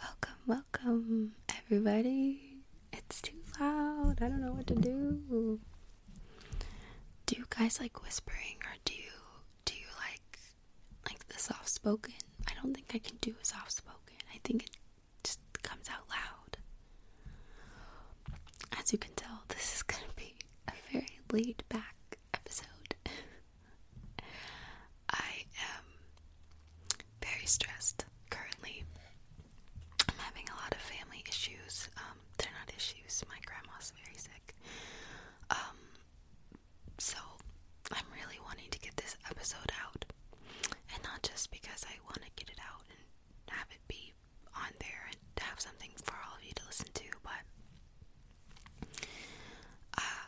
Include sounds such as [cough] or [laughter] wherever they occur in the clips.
Welcome, welcome, everybody. It's too loud. I don't know what to do. Do you guys like whispering, or do you do you like like the soft spoken? I don't think I can do a soft spoken. I think it just comes out loud. As you can tell, this is gonna be a very laid back episode. [laughs] I am very stressed currently. I'm having a lot of family issues. Um, they're not issues. My grandma's very sick. Um, so I'm really wanting to get this episode out, and not just because I want to get it out and have it be on there and have something for all of you to listen to, but uh,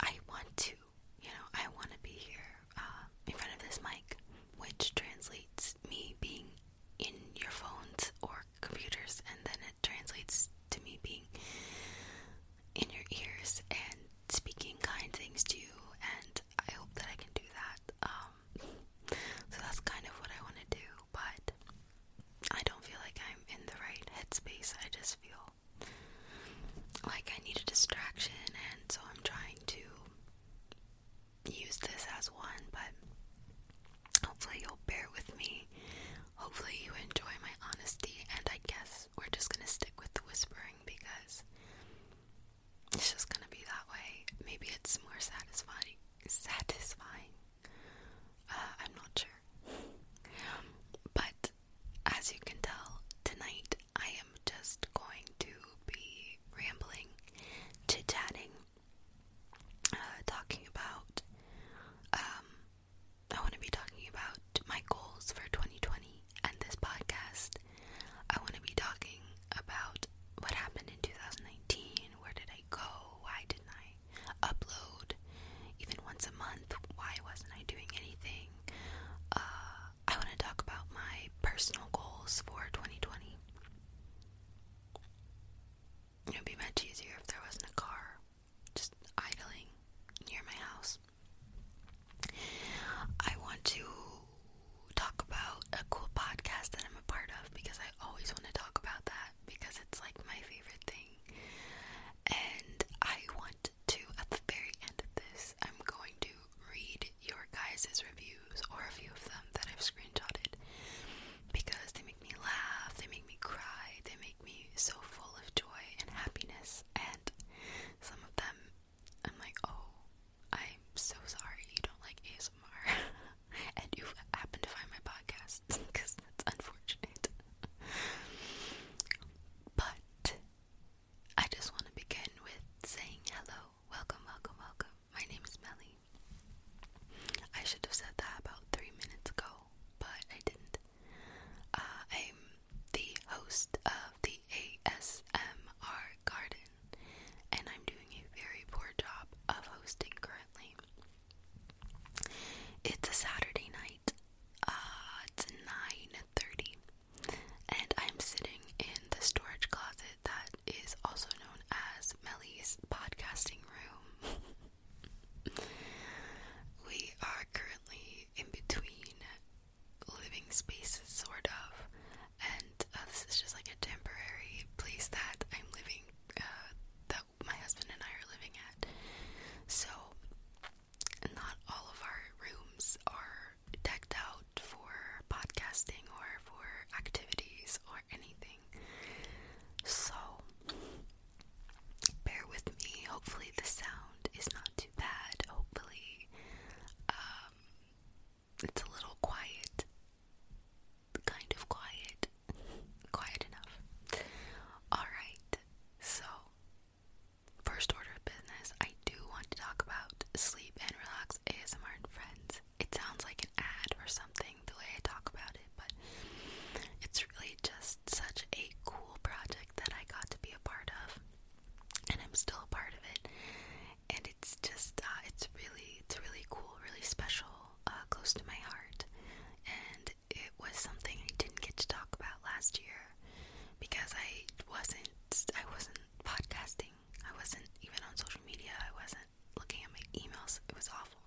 I want to, you know, I want to be here uh, in front of this mic, which translates me being in your phones or computers, and then it translates to me being in your ears and speaking kind things to you. And I hope that I can do that. Um, so that's kind of what I want to do, but I don't feel like I'm in the right headspace. I just feel like, I need a distraction, and so I'm trying to use this as one, but hopefully, you'll bear with me. Hopefully, you enjoy my honesty, and I guess we're just gonna stick with the whispering because it's just gonna be that way. Maybe it's more satisfying. Satisfying. Uh, I'm not sure. But as you can tell, tonight I am just going to be rambling, chit chatting, uh, talking about. Um, I want to be talking about my goals for 2020 and this podcast. I want to be talking about what happened in 2019. Where did I go? Why didn't I upload even once a month? Why wasn't I doing anything? Uh, I want to talk about my personal goals for 2020. It would be much easier if there wasn't a car just idling near my house. I want to talk about a cool podcast that I'm a part of because I always want to talk about that because it's like my favorite thing. And I want to, at the very end of this, I'm going to read your guys' reviews, or a few of them that I've screenshotted, because they make me laugh, they make me cry, they make me so full of joy and happiness, and some of them, I'm like, oh, I'm so sorry you don't like ASMR, [laughs] and you have happened to find my podcast, because [laughs] that's unfortunate. but I just want to begin with saying hello, welcome, welcome, welcome. My name is Melly. I should have said that about three minutes ago, but I didn't. Uh, I'm the host of the ASMR Garden, and I'm doing a very poor job of hosting currently. It's a Saturday night. Uh, it's 9:30 and I'm sitting in the storage closet that is also known as Melly's podcasting room. [laughs] we are currently in between living spaces, sort of, and uh, this is just like a temporary place that I'm living, uh, that my husband and I are living at. So not all of our rooms are decked out for podcasting or for activities or anything. So, bear with me. Hopefully, the sound is not too bad. Hopefully, um, it's a little quiet. Kind of quiet. quiet enough. Alright, so First order of business, I do want to talk about sleep and relax ASMR and friends. It sounds like an ad or something the way I talk about it, but it's really just such a cool project that I got to be a part of, and I'm still a part of it. And it's just, uh, it's really, it's really cool, really special, uh, close to my heart. And it was something I didn't get to talk about last year, because I wasn't I wasn't podcasting. I wasn't even on social media. I wasn't looking at my emails. It was awful.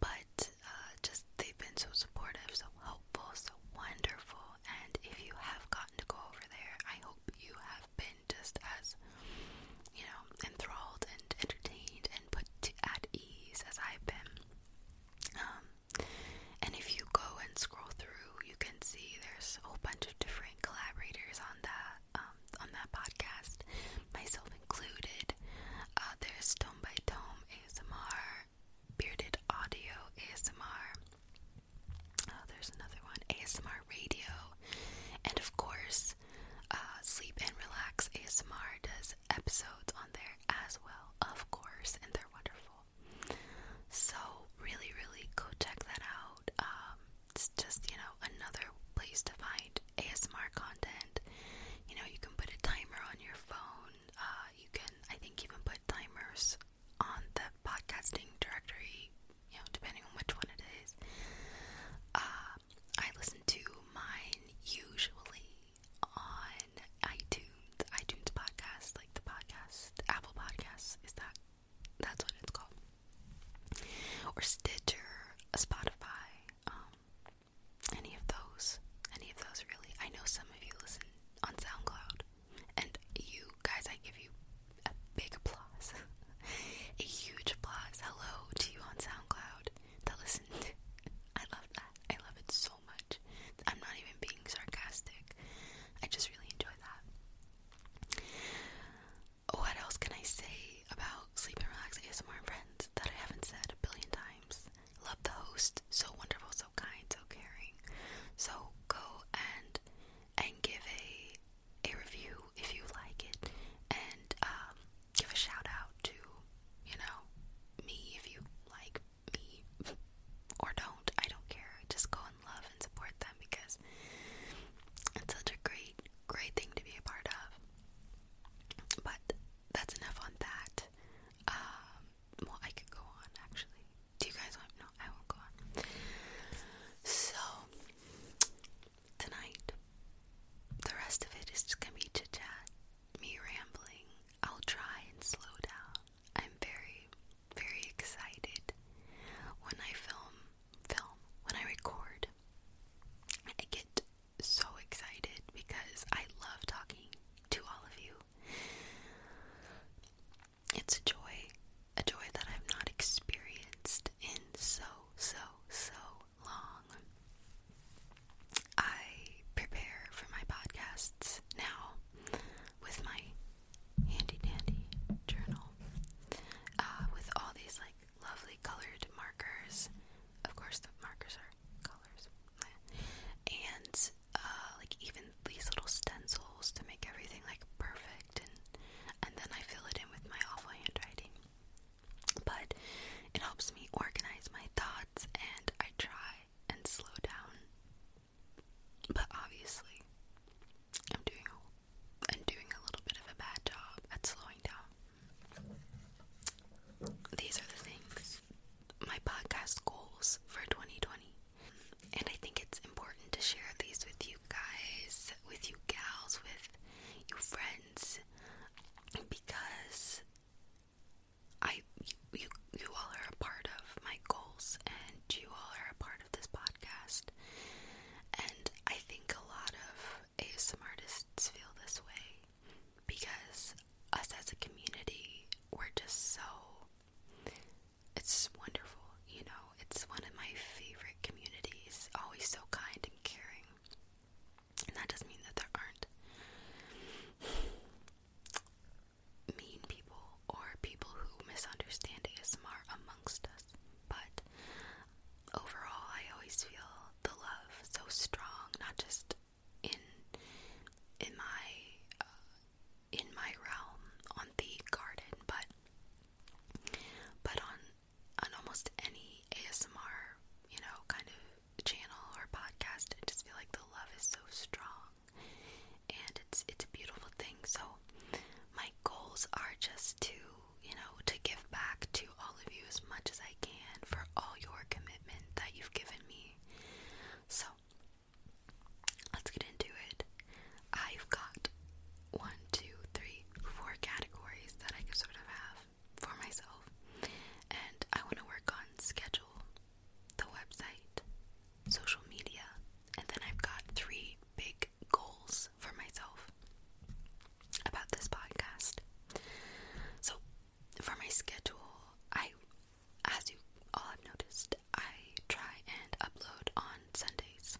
But uh, just they've been so supportive, so helpful, so wonderful. And if you have gotten to go over there, I hope you have been just as you know enthralled and entertained and put at ease as I've been. Um, and if you go and scroll through, you can see there's a whole bunch of different collaborators on that um, on that podcast, myself included. Uh, there's Tome by Tome ASMR, Bearded Audio ASMR. Uh, there's another one, ASMR Radio, and of course, uh, Sleep and Relax ASMR does episodes on there as well, of course, and they're wonderful. So really, really go check that out. Um, it's just you know another place to find ASMR content. You know you can put a timer on your phone. Uh, you can I think even put timers on the podcasting directory. You know depending on which one it is. Uh, I listen to mine usually on iTunes iTunes, podcast, like the podcast, Apple podcast, is that that's what it's called. Or Stitcher, Spotify, um, any of those. Any of those really. I know some of you listen on SoundCloud. And you guys, I give you a big applause. [laughs] a huge applause. Hello to you on SoundCloud that listened. [laughs] I love that. I love it so much. I'm not even being sarcastic. I just really enjoy that. What else can I say about Sleep and Relax ASMR Friends that I haven't said a billion times? Love the host, so wonderful, so kind, so caring. So go and and give a a review if you like it, and um, give a shout out to you know me if you like me [laughs] or don't. I don't care. Just go love and support them because it's such a great, great thing to be a part of. But that's enough on that. Um, well, I could go on actually. Do you guys want? No, I won't go on. So tonight, the rest of it is gonna be chit chat, me rambling. I'll try and slow down. I'm very, very excited when I film, film, when I record. I get so excited because I love talking to all of you. It's a joy, a joy that I've not experienced in so, so, so long. I prepare for my podcasts now with my handy dandy journal uh, with all these like lovely colored markers. Of course, the markers are colors, and uh, like even these little stencils to make everything like perfect, and and then I fill it in with my awful handwriting. But it helps me organize my thoughts, and I try and slow down but obviously, I'm doing a, I'm doing a little bit of a bad job at slowing down. These are the things my podcast goals for 2020, and I think it's important to share these with you guys, with you gals, with you friends, because I you you all are a part of my goals and you all are a part of this podcast. And I think a lot of ASM artists feel this way because us as a community, we're just so. It's wonderful, you know. It's one of my favorite communities, always so kind and caring. And that doesn't mean that there aren't mean people or people who misunderstand ASMR amongst us, but overall, I always feel the love so strong, not just in in my uh, in my realm on the garden, but but on on almost any ASMR, you know, kind of channel or podcast, I just feel like the love is so strong and it's it's a beautiful thing. So my goals are just to, you know, to give back to all of you as much as I can for all your commitment that you've given me. So let's get into it. I've got one, two, three, four categories that I can sort of have for myself. And I want to work on schedule, the website, social media, and then I've got three big goals for myself about this podcast. So, for my schedule, I, as you all have noticed, I try and upload on Sundays.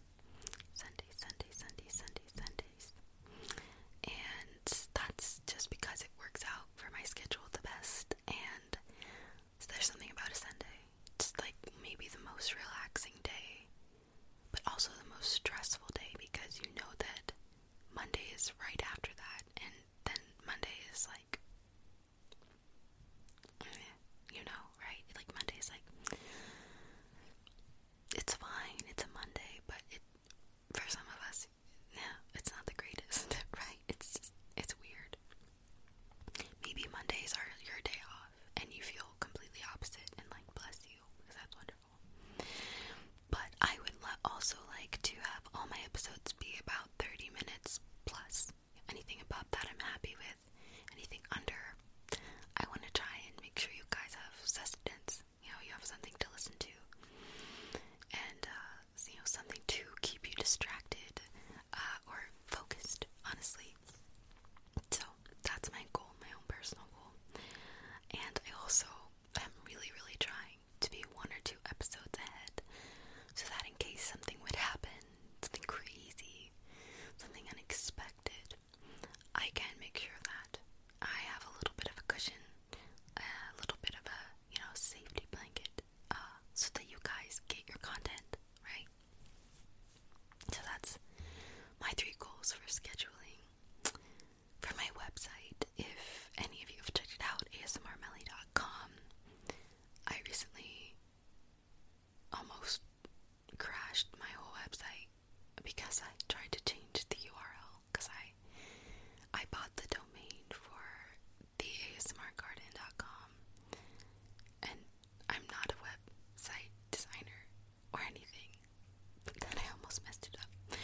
Sundays, Sundays, Sundays, Sundays, Sundays. And that's just because it works out for my schedule the best, and there's something about a Sunday. It's like maybe the most relaxing day, but also the most stressful day because you know that Monday is right after that, and then Monday is like, eh, you know, right? Like Monday is like, it's fine, it's a Monday, but it for some of us, yeah, it's not the greatest, [laughs] right? It's it's weird. Maybe Mondays are your day off and you feel completely opposite and like bless you because that's wonderful. But I would also like to have all my episodes be about 30 minutes plus. Anything above that I'm happy with, anything under, I want to try and make sure you guys have sustenance. You know, you have something to listen to and, uh, you know, something to keep you distracted uh, or focused, honestly. So that's my goal, my own personal goal. And I also am really, really trying to be one or two episodes ahead so that in case something would happen, something crazy, something unexpected, I can make sure that I have a little bit of a cushion, a little bit of a, you know, safety blanket, uh, so that you guys get your content, right? So that's my three goals for scheduling. For my website, if any of you have checked it out, asmrmelly.com, I recently almost crashed my whole website because I tried to change the URL because I I bought the domain for the theasmrgarden.com and I'm not a website designer or anything. Then I almost messed it up.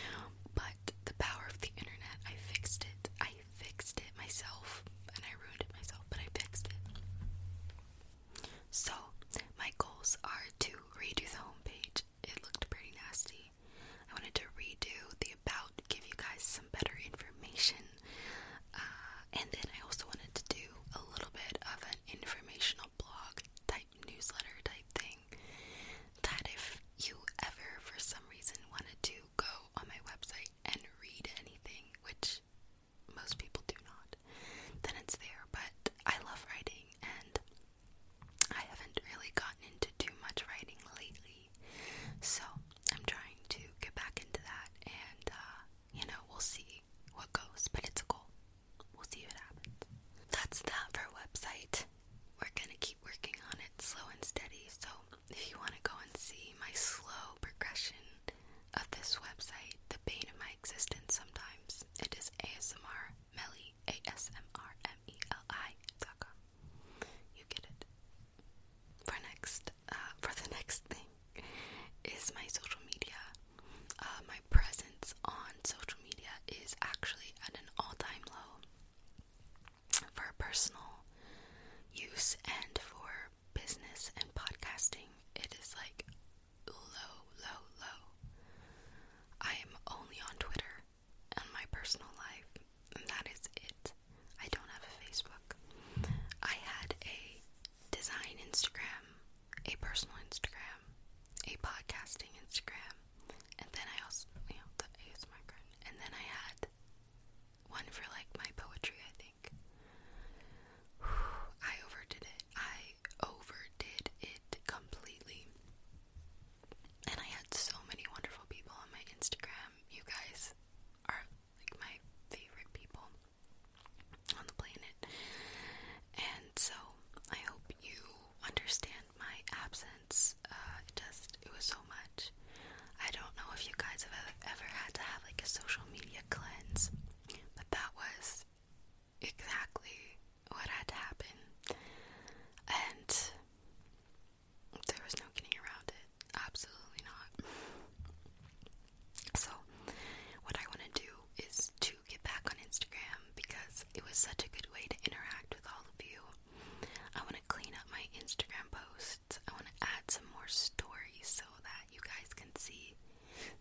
But the power of the internet, I fixed it. I fixed it myself and I ruined it myself, but I fixed it. So, my goals are to redo the homepage. It looked pretty nasty. I wanted to redo the about, give you guys some better information. Uh, and then I also wanted to do a little bit of an informational blog type newsletter type thing that if you ever for some reason wanted to go on my website and read anything, which most people do not, then it's there. But I love writing and I haven't really gotten into too much writing lately. So I'm trying to get back into that and, uh, you know, we'll see what goes, but it's a goal. We'll see what happens. That's that for website. We're gonna keep working on it slow and steady. So if you wanna go and see my slow progression of this website, the bane of my existence sometimes, it is ASMR Melly A S M R M E L I dot com. You get it. For next uh, for the [laughs] next thing [laughs] is my social media. Uh, my presence on social media is actually at an all time low for personal use and for business and podcasting. It is like low, low, low. I am only on Twitter and my personal life, and that is it. I don't have a Facebook. I had a design Instagram, a personal Instagram, a podcasting Instagram, and then I also, you know, the ASMR card. And then I had one for like my poetry, I think. I overdid it. I overdid it completely. And I had so many wonderful people on my Instagram. You guys are like my favorite people on the planet. And so I hope you understand my absence. Uh, it just it was so much. I don't know if you guys have ever had to have like a social media cleanse, but that was exactly what had to happen. And there was no getting around it. Absolutely not. So, what I want to do is to get back on Instagram because it was such a good way to interact with all of you. I want to clean up my Instagram posts. I want to add some more stories so that you guys can see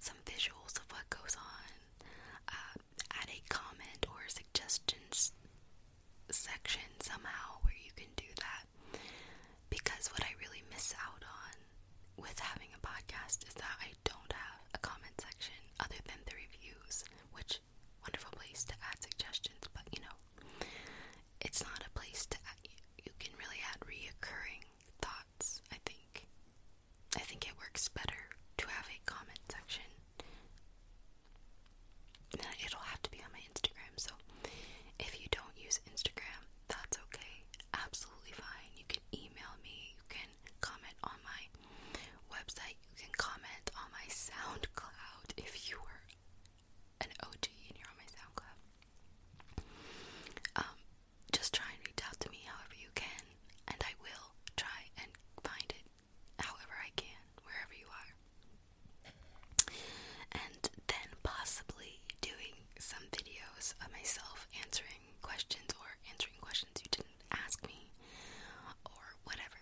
some visuals of what goes on. Uh, add a comment or suggestions section somehow where you can do that. Because what I really miss out on with having a podcast is that I I don't have a comment section other than the reviews, which wonderful place to add suggestions, but you know, it's not a place to you can really add reoccurring thoughts, I think. I think it works better to have a comment section. It'll have to be on my Instagram, so if you don't use Instagram, that's okay. Absolutely fine. You can email me, you can comment on my website. You can comment on my SoundCloud if you were an OG and you're on my SoundCloud. Um, just try and reach out to me however you can, and I will try and find it however I can, wherever you are. And then possibly doing some videos of myself answering questions or answering questions you didn't ask me or whatever.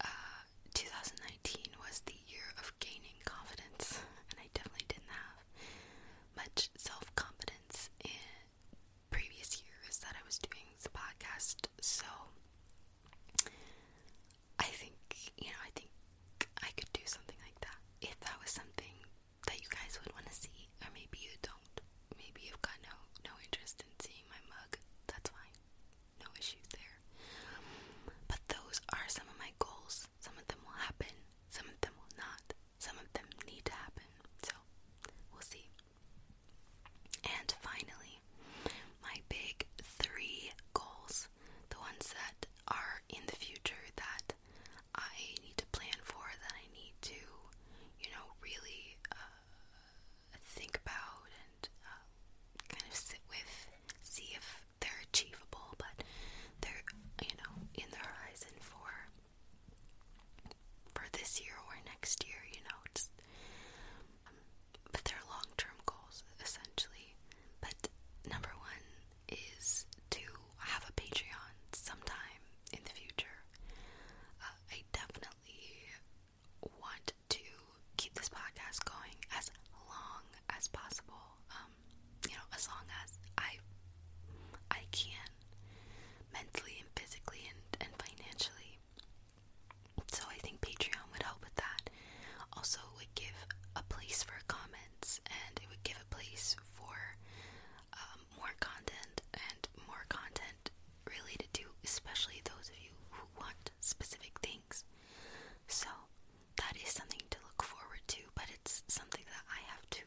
Uh, 2019 was the year of gaining confidence, and I definitely didn't have much self confidence in previous years that I was doing the podcast. So I think, you know, I think I could do something like that if that was something that you guys would want to see, or maybe you don't. Maybe you've got no no interest in seeing my mug. That's fine. No issues there. But those are some of my goals. Some of them will happen, some of them will not. Some of them need to happen. So, we'll see. And finally, my big 3 goals. The ones that are in the future that I need to plan for, that I need to, you know, really uh, think about and uh, kind of sit with, see if they're achievable, but they're, you know, in the horizon for for this year or next year, you know, just, um, but they're long-term goals essentially. But number one is to have a Patreon sometime in the future. Uh, I definitely want to keep this podcast going as long as possible. Um, you know, as long as I I can mentally and physically and, and financially. So I think Patreon would help with that. Also would give a place for comments and it would give a place for um, more content and more content related to especially those of you who want specific things. So that is something to look forward to, but it's something that I have to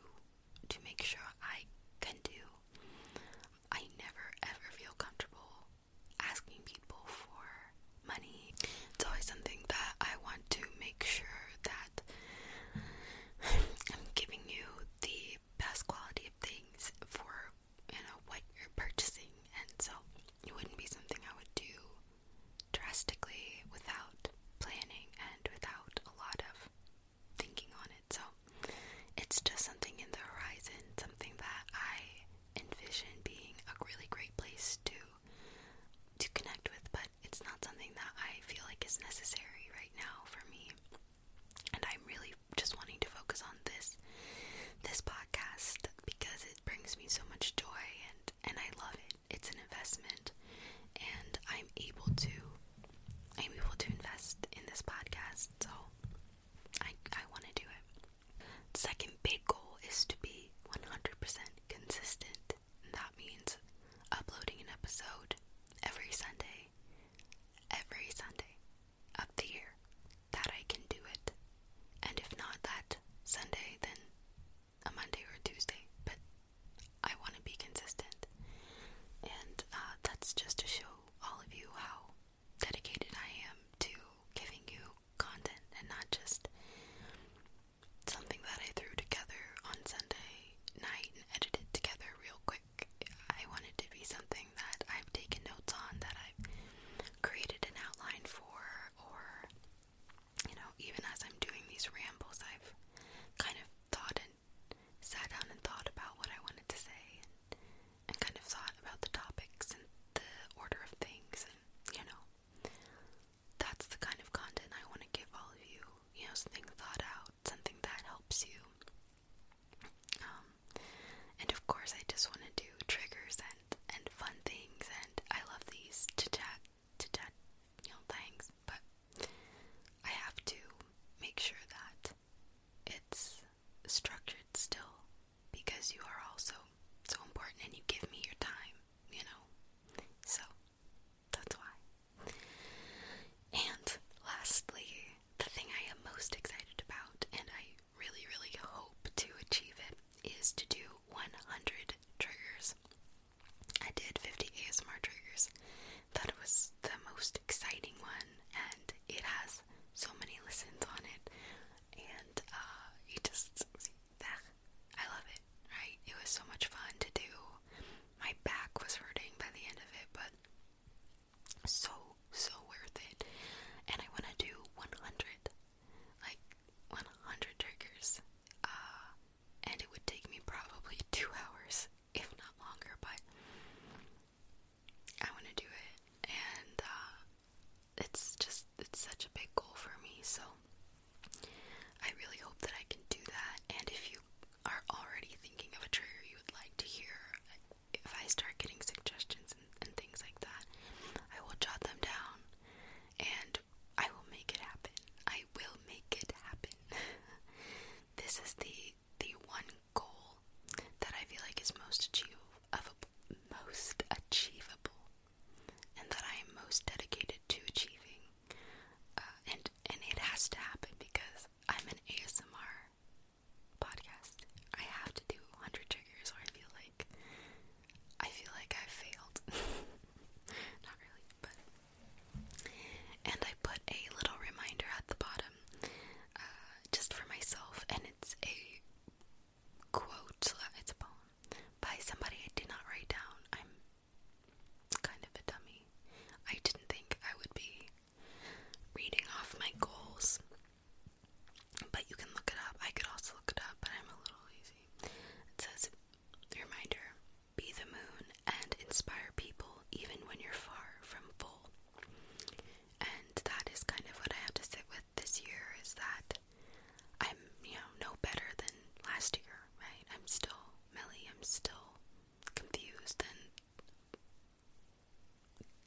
to make sure I can do. I never ever feel comfortable asking people for money. It's always something that I want to make sure that I'm giving you the the best quality of things for you know what you're purchasing, and so it wouldn't be something I would do drastically without planning and without a lot of thinking on it. So it's just something in the horizon, something that I envision being a really great place to to connect with, but it's not something that I feel like is necessary right now for me and I'm really just wanting to focus on this this podcast because it brings me so much joy and and I love it. It's an investment and I'm able to I'm able to invest in this podcast. So I I want to do it. Second big goal is to be 100% consistent. that means uploading an episode every Sunday every Sunday of the year, that I can do it. And if not that Sunday, then a Monday or a Tuesday. But I want to be consistent. And uh, that's just to show all of you how dedicated I am to giving you content and not just something that I threw together on Sunday night and edited together real quick. I want it to be something that I've taken notes on, that I've created an outline for, or, you know, even as I'm doing these rambles, I've kind of thought and sat down and thought about what I wanted to say, and kind of thought about the topics and the order of things, and, you know, that's the kind of content I want to give all of you, you know, something thought out out something that helps you. Um, and of course, I just want to do triggers and and fun things, and I love these to chat to chat, you know, things. But I have to make sure that it's structured still, because you are also so important, and you give me your time, you know. So that's why. And lastly, the thing I am most excited about, and I really, really hope to achieve it, is to do 100 triggers. I did 50 ASMR triggers. That was the most exciting one, and it has so many listens on it. And uh, you just, ah, I love it, right? It was so much fun to do. My back was hurting by the end of it, but so so worth it and I want to do 100 like 100 triggers uh, and it would take me probably 2 hours if not longer but I want to do it and uh it's just it's such a big goal for me so I really hope that I can do that and if you are already thinking of a trigger you would like to hear if I start getting suggestions and, things like that, I will jot them down and I will make it happen. I will make it happen. [laughs] this is the the one goal that I feel like is most achievable, most achievable, and that I am most dedicated to achieving. Uh, and and it has to happen because I'm an ASMR podcast. I have to do 100 triggers or I feel like I feel like i failed. [laughs] Not really, but and I put a little reminder at the bottom uh, just for myself and it's a quote, it's a poem by somebody I did not write down. I'm kind of a dummy. I didn't think I would be reading off my goals. But you can look it up. I could also look it up, but I'm a little lazy. It says, reminder be the moon and inspire people even when you're far from full. And that is kind of what I have to sit with this year is that I'm, you know, no better than last year, right? I'm still Melly, I'm still confused and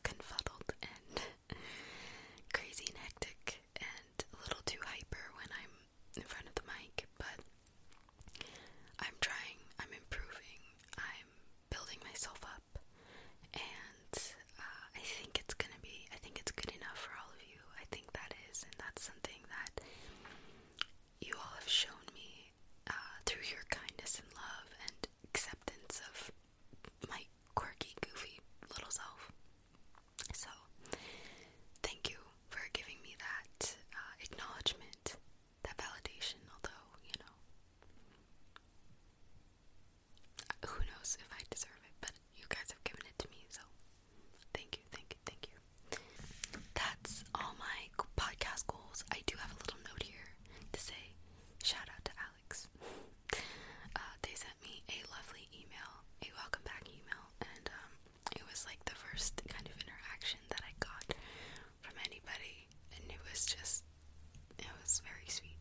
confuddled and [laughs] crazy and hectic and a little too hyper when I'm in front of the mic, but I'm trying, I'm improving, I'm building myself up, and uh, I think it's gonna be, I think it's good enough for all of you. I think that is, and that's something that you all have shown me uh, through your kindness and love and acceptance of my quirky, goofy little self. So, thank you for giving me that uh, acknowledgement, that validation, although, you know. Who knows if I deserve it, but you guys have given it to me, so thank you, thank you, thank you. That's all my podcast goals. I do have a little note here to say Shout out to Alex. Uh, they sent me a lovely email, a welcome back email, and um, it was like the first kind of interaction that I got from anybody, and it was just, it was very sweet,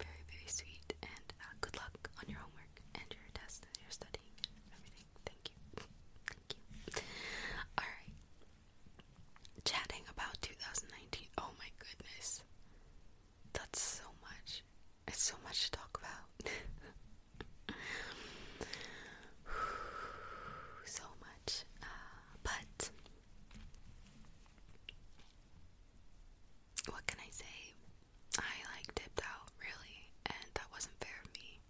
very, very sweet. And uh, good luck on your homework and your test and your studying everything. Thank you. Thank you. Alright, chatting about 2019. Oh my goodness. That's so much. It's so much to talk about. [sighs] so much. Uh, but what can I say? I like dipped out, really, and that wasn't fair of me.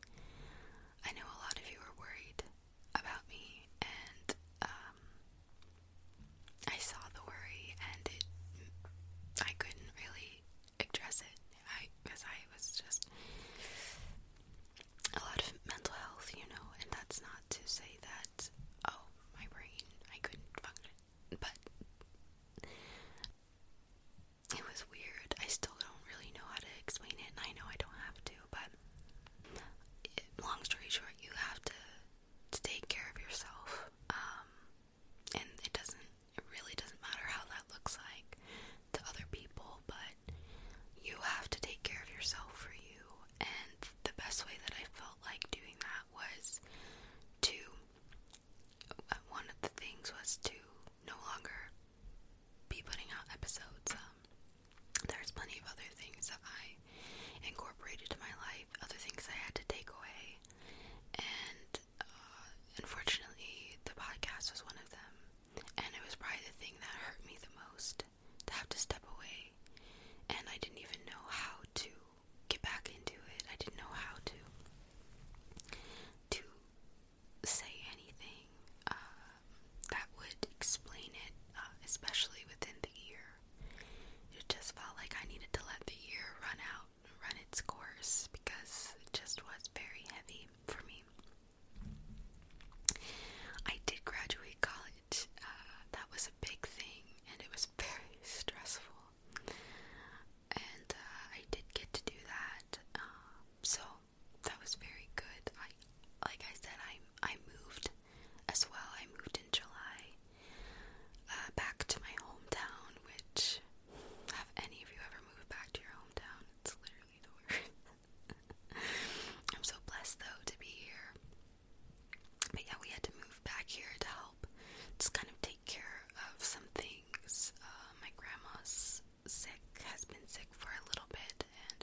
I know a lot of you are worried about me, and um, I saw the worry, and it I couldn't really address it. I because I was just a lot of mental health, you know, and that's not to say that oh my brain I couldn't function, but it was weird. I still don't really know how to explain it, and I know I don't have to, but long story short, you have to to take care of yourself. Um, and it doesn't, it really doesn't matter how that looks like to other people, but you have to take care of yourself for you. And the best way that I felt like doing that was to, uh, one of the things was to no longer be putting out episodes. Um, there's plenty of other things that I incorporated to my life, other things I had to take away, and uh, unfortunately, the podcast was one of them. And it was probably the thing that hurt me the most to have to step away. And I didn't even know how to get back into it. I didn't know how to to say anything uh, that would explain it, uh, especially within the year. It just felt like I needed to let the year run out, run its course, because it just was very heavy for me. I did graduate college. Uh, that was a big thing, and it was [laughs] very stressful. And uh, I did get to do that, um, so that was very good. I, like I said, I I moved moved as well. I moved in July uh, back to my hometown, which have any of you ever moved back to your hometown? It's literally the worst. [laughs] I'm so blessed though to be here. But yeah, we had to move back here to help just kind of take care of some things. Uh, my grandma's sick, has been sick for a little bit, and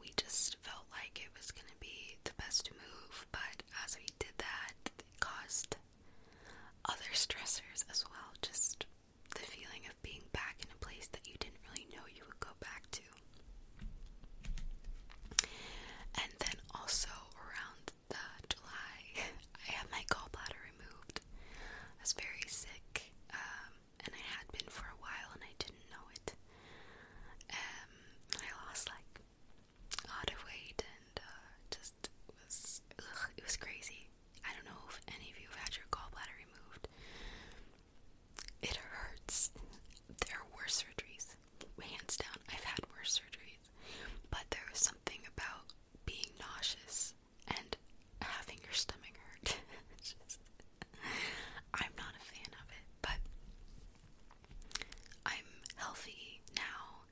we just felt like it was gonna be the best move, but as we did that, it caused other stressors as well. Just the feeling of being back in a place that you didn't really know you would go back to. And then also around the July, [laughs] I had my gallbladder removed. I was very sick, um, and I had been for a while, and I didn't know it. Um, I lost like out of weight and uh, just was it was crazy. I don't know if any of you have had your gallbladder removed. It hurts. There are worse surgeries, hands down. I've had worse surgeries, but there was something about being nauseous and having your stomach hurt. [laughs] I'm not a fan of it, but I'm healthy now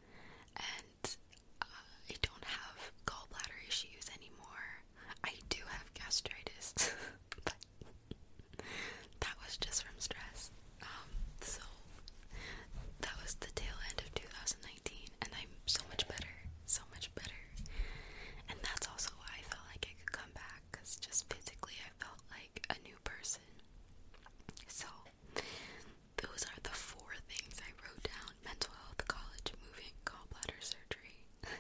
and I don't have gallbladder issues anymore. I do have gastritis, [laughs] but that was just from stress. Um, so that was the tail end of 2019, and I'm so much better, so much better. And that's also why I felt like I could come back because just physically I felt like a new person. So, those are the four things I wrote down mental health, college, moving, gallbladder surgery. [laughs]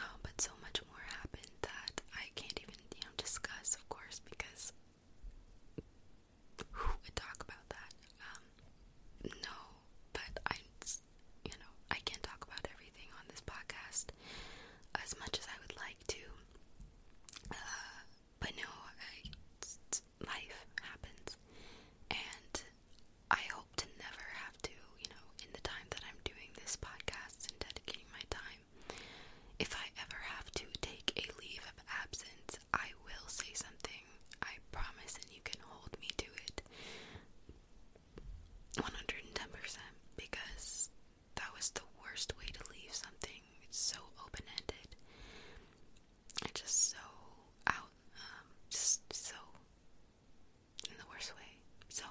Um, but so much more happened that I can't even, you know, discuss, of course, because who would talk about that? Um, no, but I, you know, I can't talk about everything on this podcast as much as I would like to. Uh, but no, uh, life happens, and I hope to never have to, you know, in the time that I'm doing this podcast and dedicating my time, if I ever have to take a leave of absence, I will say something. I promise, and you can hold me to it 110% because that was the worst way to leave something. It's so open ended It's just so out, um, just so in the worst way. So,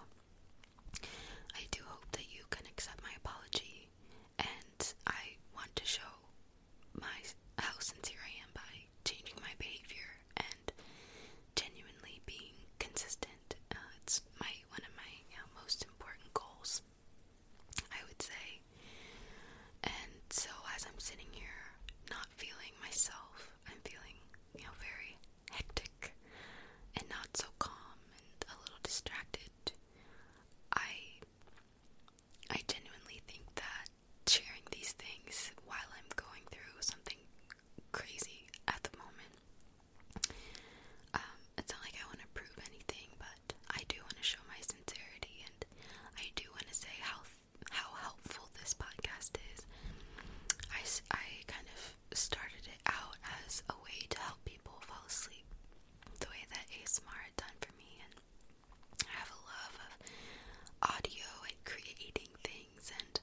I do hope that you can accept my apology, and I want to show my how sincere I am by changing my behavior and genuinely being consistent. Uh, it's my one of my most important goals, I would say. And so, as I'm sitting here, not feeling myself, I'm feeling you know very hectic and not so calm and a little distracted. I I genuinely think that sharing these things while I'm going through something crazy at the moment um, it's not like I want to prove anything, but I do want to show my sincerity and I do want to say how how helpful this podcast is. I, I kind of started it out as a way to help people fall asleep the way that ASMR had done for me, and I have a love of audio and creating things, and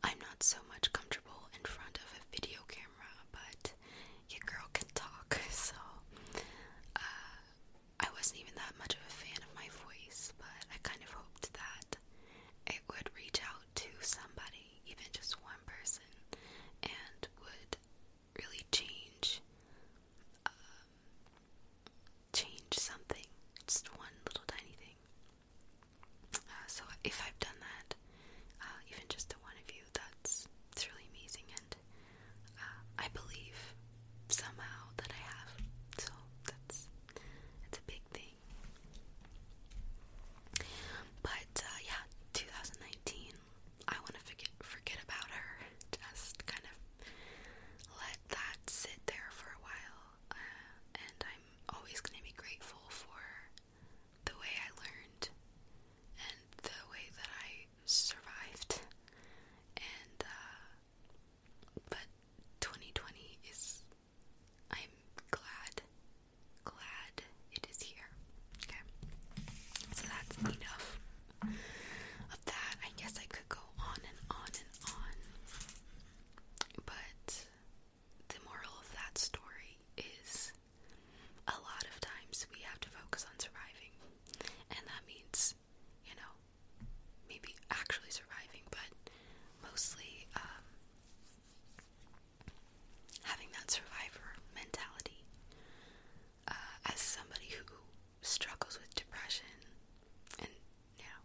I'm not so much comfortable in front of a video camera, but your girl can talk. [laughs] So uh, I wasn't even that much of a fan of my voice, but I kind of hoped that it would reach out to somebody, even just one person, and would really change um, change something, just one little tiny thing. Uh, so if I've done that, uh, even just the one of you, that's it's really amazing. And uh, I believe somehow that I have, so that's it's a big thing. But uh, yeah, 2019. I want to forget forget about her. Just kind of let that sit there for a while. and I'm always going to be grateful for the way I learned and the way that I survived. And, uh, but 2020 is, I'm glad, glad it is here. Okay. So that's enough of that. I guess I could go on and on and on. But the moral of that story is a lot of times we have to focus on surviving, and that means, you know, maybe actually surviving, but mostly um, having that survivor mentality. Uh, as somebody who struggles with depression, and you know,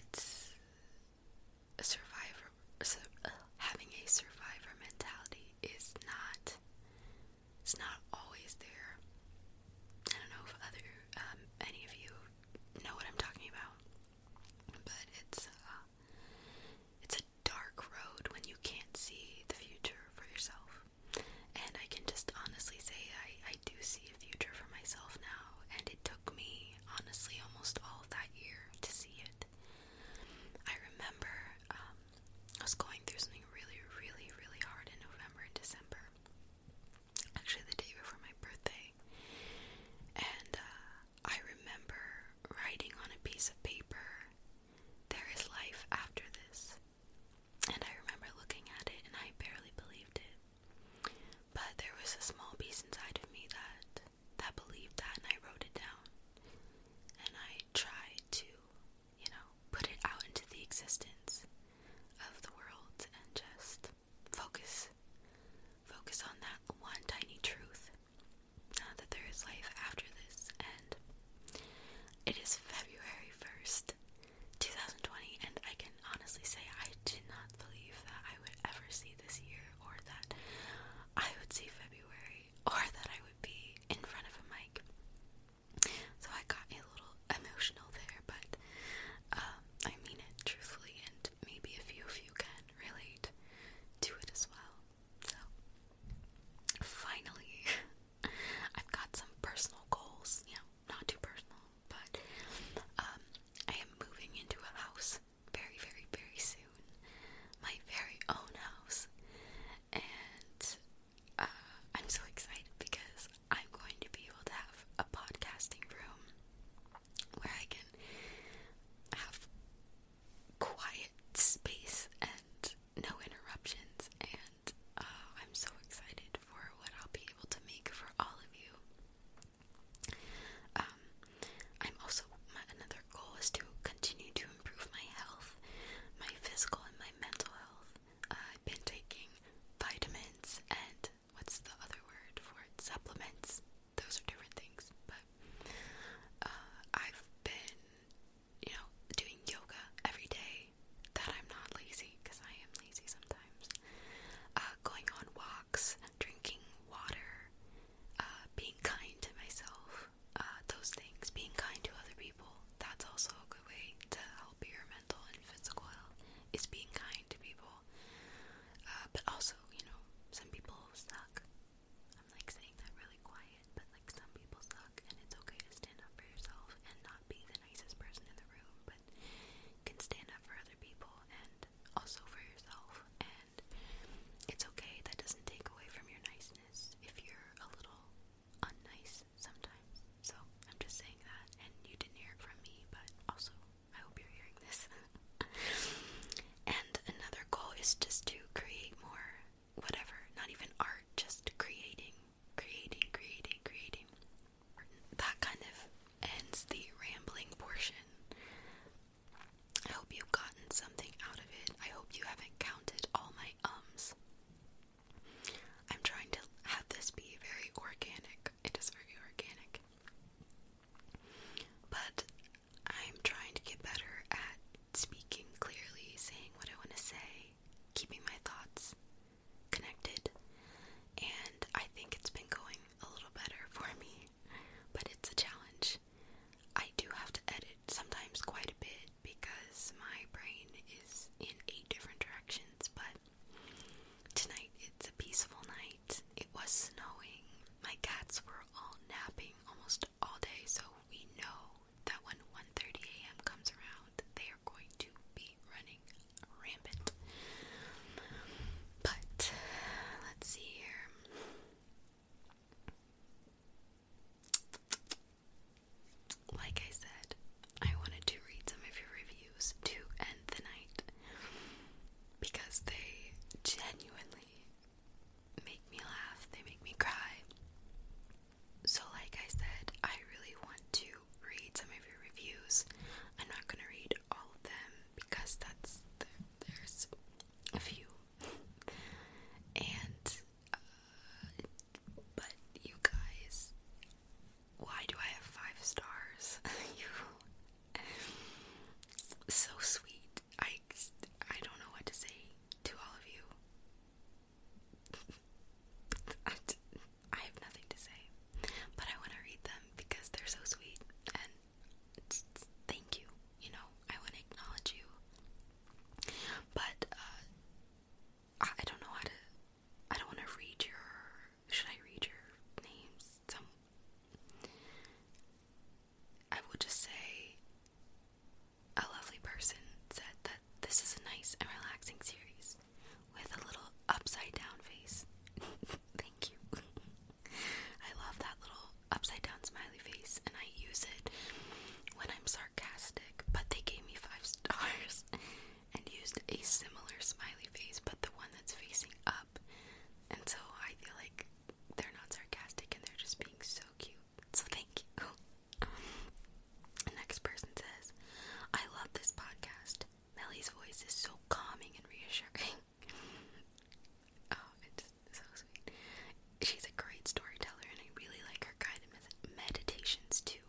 it's a survivor so, uh, having a survivor mentality is not it's not always there. I don't know if other um, any of you know what I'm talking about, but it's uh, it's a dark road when you can't see the future for yourself. And I can just honestly say I, I do see a future for myself now, and it took me honestly almost all that year to see it. I remember um, I was going through something really, really, really hard in November and December. Actually, the day before my birthday. And uh, I remember writing on a piece of paper, There is life after this. And I remember looking at it and I barely believed it. But there was a small piece inside of me that that believed that and I wrote it down. And I tried to, you know, put it out into the existence of the world and just focus. Focus on that one tiny truth that there is life after this. And it is February 1st, 2020, and I can honestly say I did not believe that I would ever see this year or that I would see February or that I would be in front of a mic. So I got a little emotional there, but um, I mean it truthfully, and maybe a few of you can relate to it as well. So, finally, [laughs] I've got some personal goals. You not too personal, but um, I am moving into a house very, very, very soon my very own house, and uh, I'm so excited because I'm going to be able to have a podcasting room where I can have quiet space and no interruptions, and uh, I'm so excited for what I'll be able to make for all of you. Um, I'm also another goal is to continue to improve my health, my physical and my mental health. Uh, I've been taking vitamins and what's the other word for it? Supplements. Those are different things, but uh, I've been, you know, doing yoga every day. That I'm not lazy because I am lazy sometimes. Uh, going on walks, drinking water, being kind to myself, uh, those things, being kind to other people, that's also a good way to help your mental and physical health, is being kind to people. Uh, but also, you know, some people suck. I'm like saying that really quiet, but like some people suck, and it's okay to stand up for yourself and not be the nicest person in the room, but can stand up for other people and also for yourself. And it's okay, that doesn't take away from your nice if you're a little unnice sometimes. So I'm just saying that, and you didn't hear it from me, but also I hope you're hearing this. [laughs] and another goal is just to create more whatever, not even art, just creating, creating, creating, creating. That kind of ends the rambling portion. I hope you've gotten something out of it. I hope you haven't counted counted all my ums. I'm trying to have this be very organic. It is very organic. But I'm trying to get better at speaking clearly, saying what I want to say, keeping my thoughts connected. And I think it's been going a little better for me, but it's a challenge. I do have to edit sometimes quite a bit because my brain is in eight different directions, but tonight it's a peaceful night. It was snowing. My cats were all napping almost all day, so we know that when 1:30 a.m. comes around, they are going to be running rampant. But let's see here. Like I said, I wanted to read some of your reviews to end the night because they genuinely make me laugh, they make me cry. So, like I said, I really want to read some of your reviews. I'm not gonna read all of them because that's the, there's a few, [laughs] and but you guys, why do I have five stars? [laughs] you, so sweet. I I don't know what to say to all of you. [laughs] I have nothing to say, but I want to read them because they're so sweet and thank you. You know, I want to acknowledge you but uh, I, I don't know how to. I don't want to read your. Should I read your names? Some. I will just say. A lovely person said that this is a nice and relaxing series with a little upside down face. [laughs] Thank you. [laughs] I love that little upside down smile face and I use it when I'm sarcastic, but they gave me five [laughs] stars and used a similar smiley face, but the one that's facing up. And so I feel like they're not sarcastic and they're just being so cute. So thank you. [laughs] next person says, I love this podcast. Melly's voice is so calming and reassuring. [laughs] oh, it's so sweet she's a great storyteller and I really like her guided meditations too.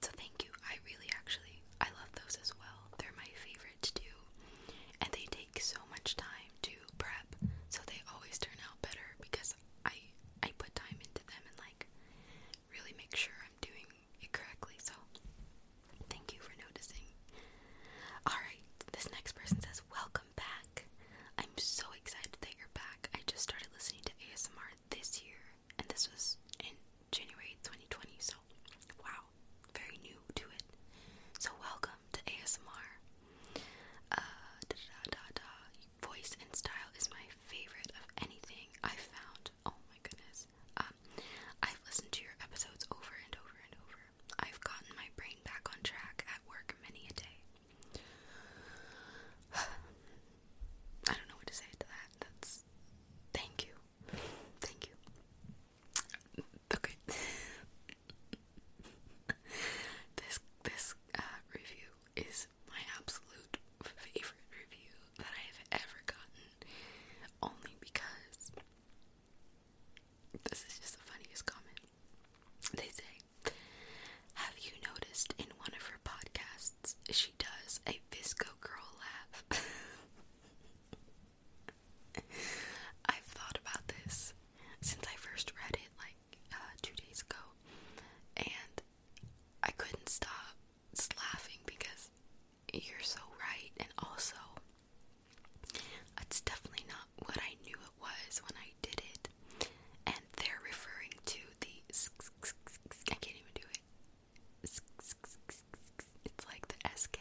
So thank you. I really actually I love those as well. They're my favorite to do. And they take so much time to prep, so they always turn out better because I I put time into them and like really make sure I'm doing it correctly. So thank you for noticing. Alright, this next person says, Welcome welcome back. I'm so excited that you're back. I just started listening to ASMR this year, and this was in January 2020, so wow, very new to it. So, welcome to ASMR. Uh, da da da da. Voice and style is my favorite of anything I've found. Oh my goodness. Um, I've listened to your episodes over and over and over. I've gotten my brain back on track at work many a day. [sighs] I don't know what to say to that. That's thank you. Thank you. Okay. [laughs] this this uh, review is my absolute favorite review that I have ever gotten. Only because this is just the funniest comment. They say have you noticed in one of her podcasts she does a Visco Girl laugh? [laughs] I've thought about this since I first read it like uh, two days ago, and I couldn't stop laughing because you're so right, and also it's definitely not what I knew was when I did it, and they're referring to the. I can't even do it. It's like the SK.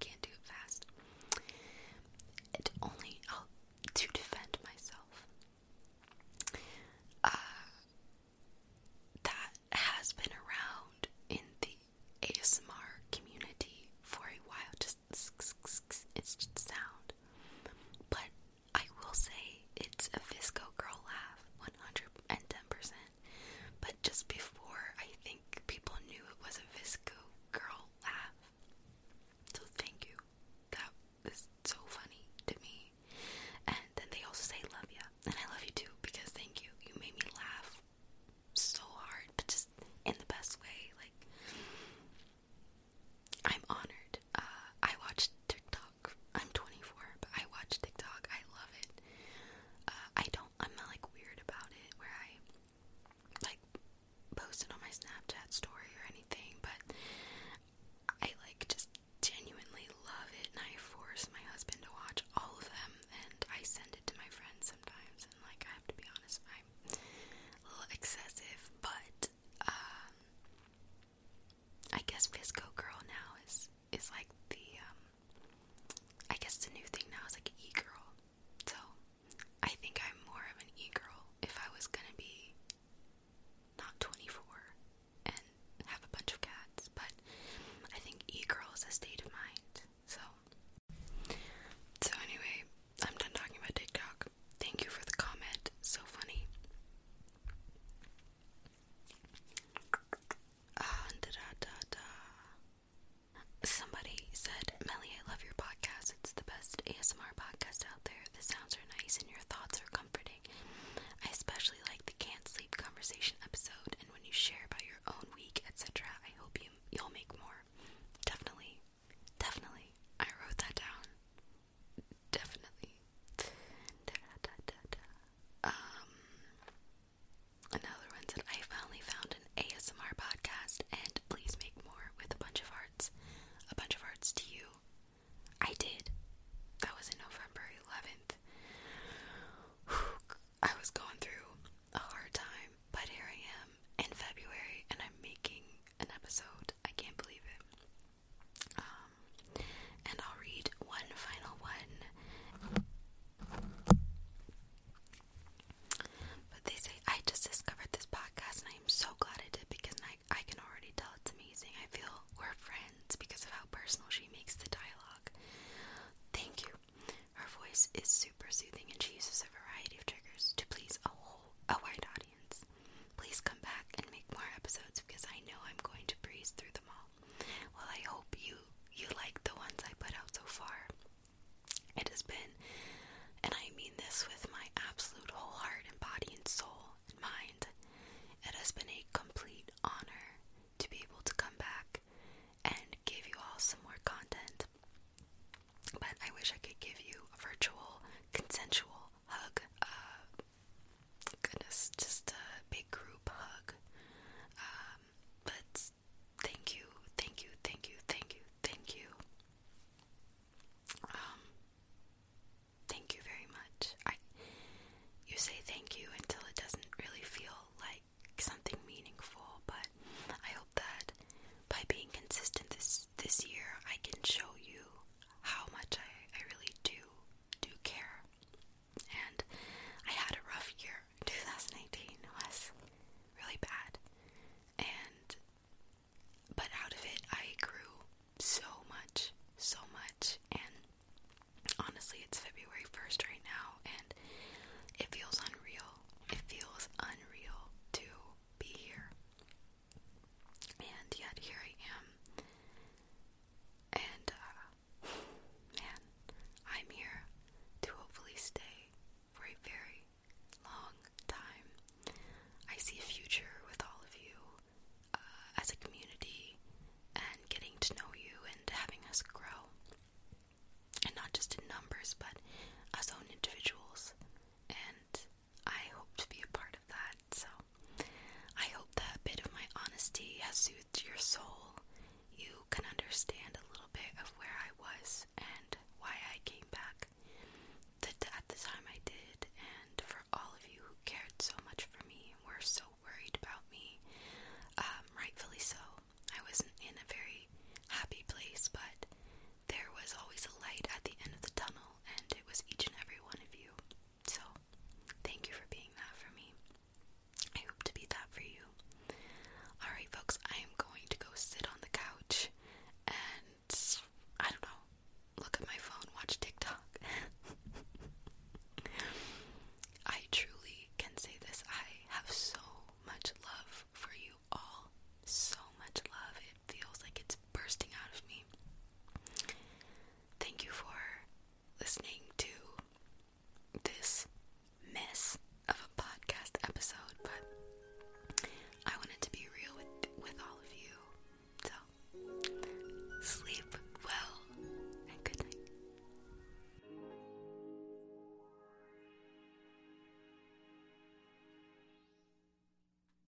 can't do it fast. It only to defend myself. Uh, that has been around in the ASMR community for a while to it's just sound. But I will say it's a Fisco girl laugh, one hundred and ten percent. But just before, I think people knew it was a Fisco girl laugh. So thank you. That is so funny to me. And then they also say love you, and I love you too because thank you. You made me laugh so hard, but just in the best way. Like I'm honored. Uh, I watch TikTok. I'm 24, but I watch TikTok. I love it. Uh, I don't. I'm not like weird about it, where I like post on my Snapchat story or anything. But I like just genuinely love it, and I force my husband to watch all of them, and I send it to my friends sometimes. And like, I have to be honest, I'm a little excessive, but um, I guess Visco Girl now is is like the um, I guess the new thing now is like e girl. So I think I'm more of an e girl if I was gonna be not 24 and have a bunch of cats, but I think e girl is a state of mind. So so anyway, I'm done talking about TikTok. Thank you for the comment. So funny. Ah, da da da da. Somebody said, Melly, I love your podcast. It's the best ASMR podcast out there. The sounds are nice and your thoughts are comforting. I especially like the can't sleep conversation episode and when you share about your own week, etc. I hope you you'll make more. Definitely. Definitely. I wrote that down. Definitely. Um, another one said, I finally found an ASMR podcast and please make more with a bunch of hearts. A bunch of hearts to you. I did. That was in November 11th. I was going through a hard time, but here I am in February, and I'm making an episode. I can't believe it. Um, and I'll read one final one. But they say, I just discovered this podcast, and I am so glad I did because I, I can already tell it's amazing. I feel we're friends because of how personal she makes the dialogue. Thank you. Her voice is super soothing, and she uses a variety of triggers to please a whole a wide audience. Please come back and make more episodes because I know I'm going to breeze through them all. Well, I hope you you like the ones I put out so far. It has been, and I mean this with my absolute whole heart and body and soul and mind. It has been a complete honor to be able to come back and give you all some more content. But I wish I could give you a virtual, consensual, hug. Uh, goodness, just a big group hug. Um, but thank you, thank you, thank you, thank you, thank you. Um, thank you very much. you say thank you until it doesn't really feel like something meaningful, but I hope that by being consistent this this year, I can show you how much I, I really do do care. And I had a rough year. in [laughs] two thousand eighteen was really bad. And but out of it I grew so much, so much and honestly it's February 1st right now and it feels unreal. It feels unreal to be here and yet here I am. And, uh, man, I'm here to hopefully stay for a very long time. I see a future with all of you uh, as a community and getting to know you and having us grow. And not just in numbers, but as own individuals. And I hope to be a part of that. So I hope that a bit of my honesty has soothed your soul. You can understand a little bit of where I was and why I came back That at the time I did, and for all of you who cared so much for me and were so worried about me, um, rightfully so. I wasn't in a very happy place, but there was always a light at the end of the tunnel, and it was each and every one of you. So, thank you for being that for me. I hope to be that for you. Alright, folks, I am going to go sit on the couch and I don't know, look at my phone, watch TikTok. [laughs] I truly can say this. I have so much love for you all. So much love. It feels like it's bursting out of me. Thank you for listening to this mess of a podcast episode, but I wanted to be real with, with all of you. So, sleep well and good night.